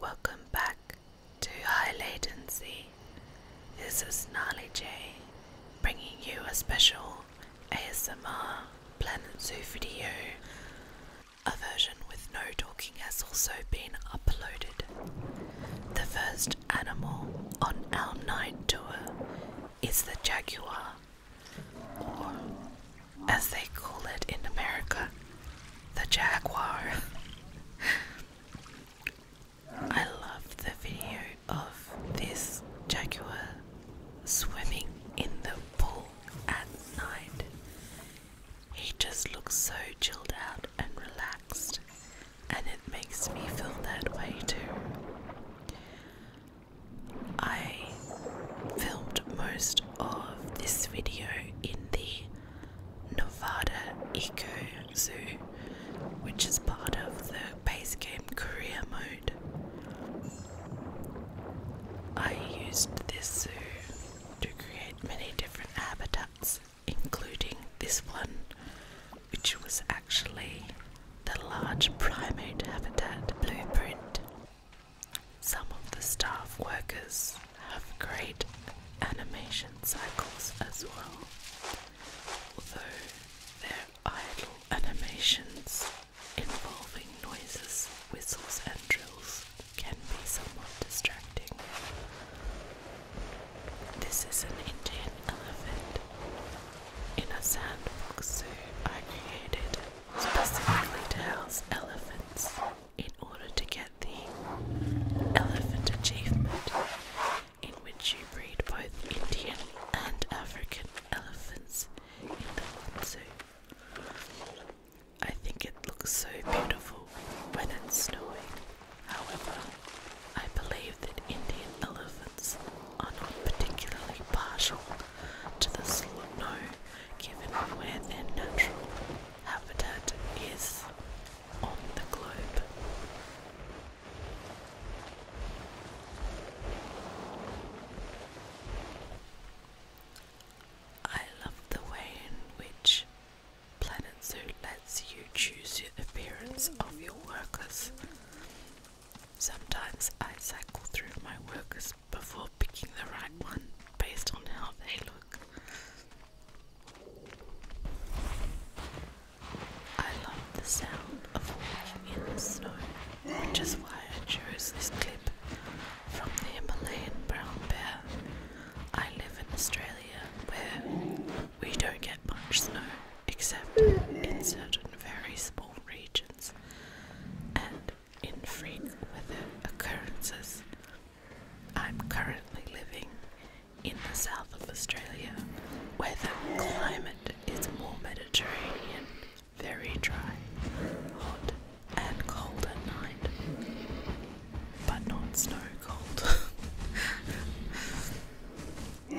Welcome back to High Latency. This is Gnarly J bringing you a special ASMR Planet Zoo video. A version with no talking has also been uploaded. The first animal on our night tour it's the jaguar, or as they call it in America, the jaguar. I love the video of this jaguar swimming in the pool at night. He just looks so chilled out and relaxed and it makes me feel that way too. I filmed most of this video in the Nevada Eco Zoo, which is part of the base game career mode. I used this zoo to create many different habitats including this one, which was actually the large primate habitat blueprint. Some of the staff workers have great animation cycles as well, although their idle animations involving noises, whistles, and drills can be somewhat distracting. This is an Indian elephant in a sandbox zoo I created specifically to house elephants in order to get the elephant achievement in which you breed both Indian and African elephants in the zoo. I think it looks so beautiful when it's snowing. However, I believe that Indian elephants are not particularly partial to the snow given where their natural habitat is on the globe. I love the way in which Planet Zoo lets you choose the appearance of your workers. Sometimes I cycle through my workers before picking the right one based on how they look. I love the sound of walking in the snow which is why I chose this clip from the Himalayan brown bear. I live in Australia where we don't get much snow except in certain very small regions and infrequent weather occurrences. I'm currently living in the south of Australia where the climate is more Mediterranean very dry, hot, and cold at night, but not snow cold.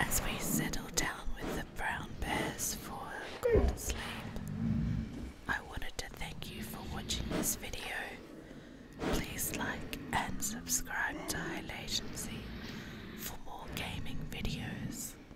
As we settle down with the brown bears for a good sleep, I wanted to thank you for watching this video. Please like and subscribe to High Latency for more gaming videos.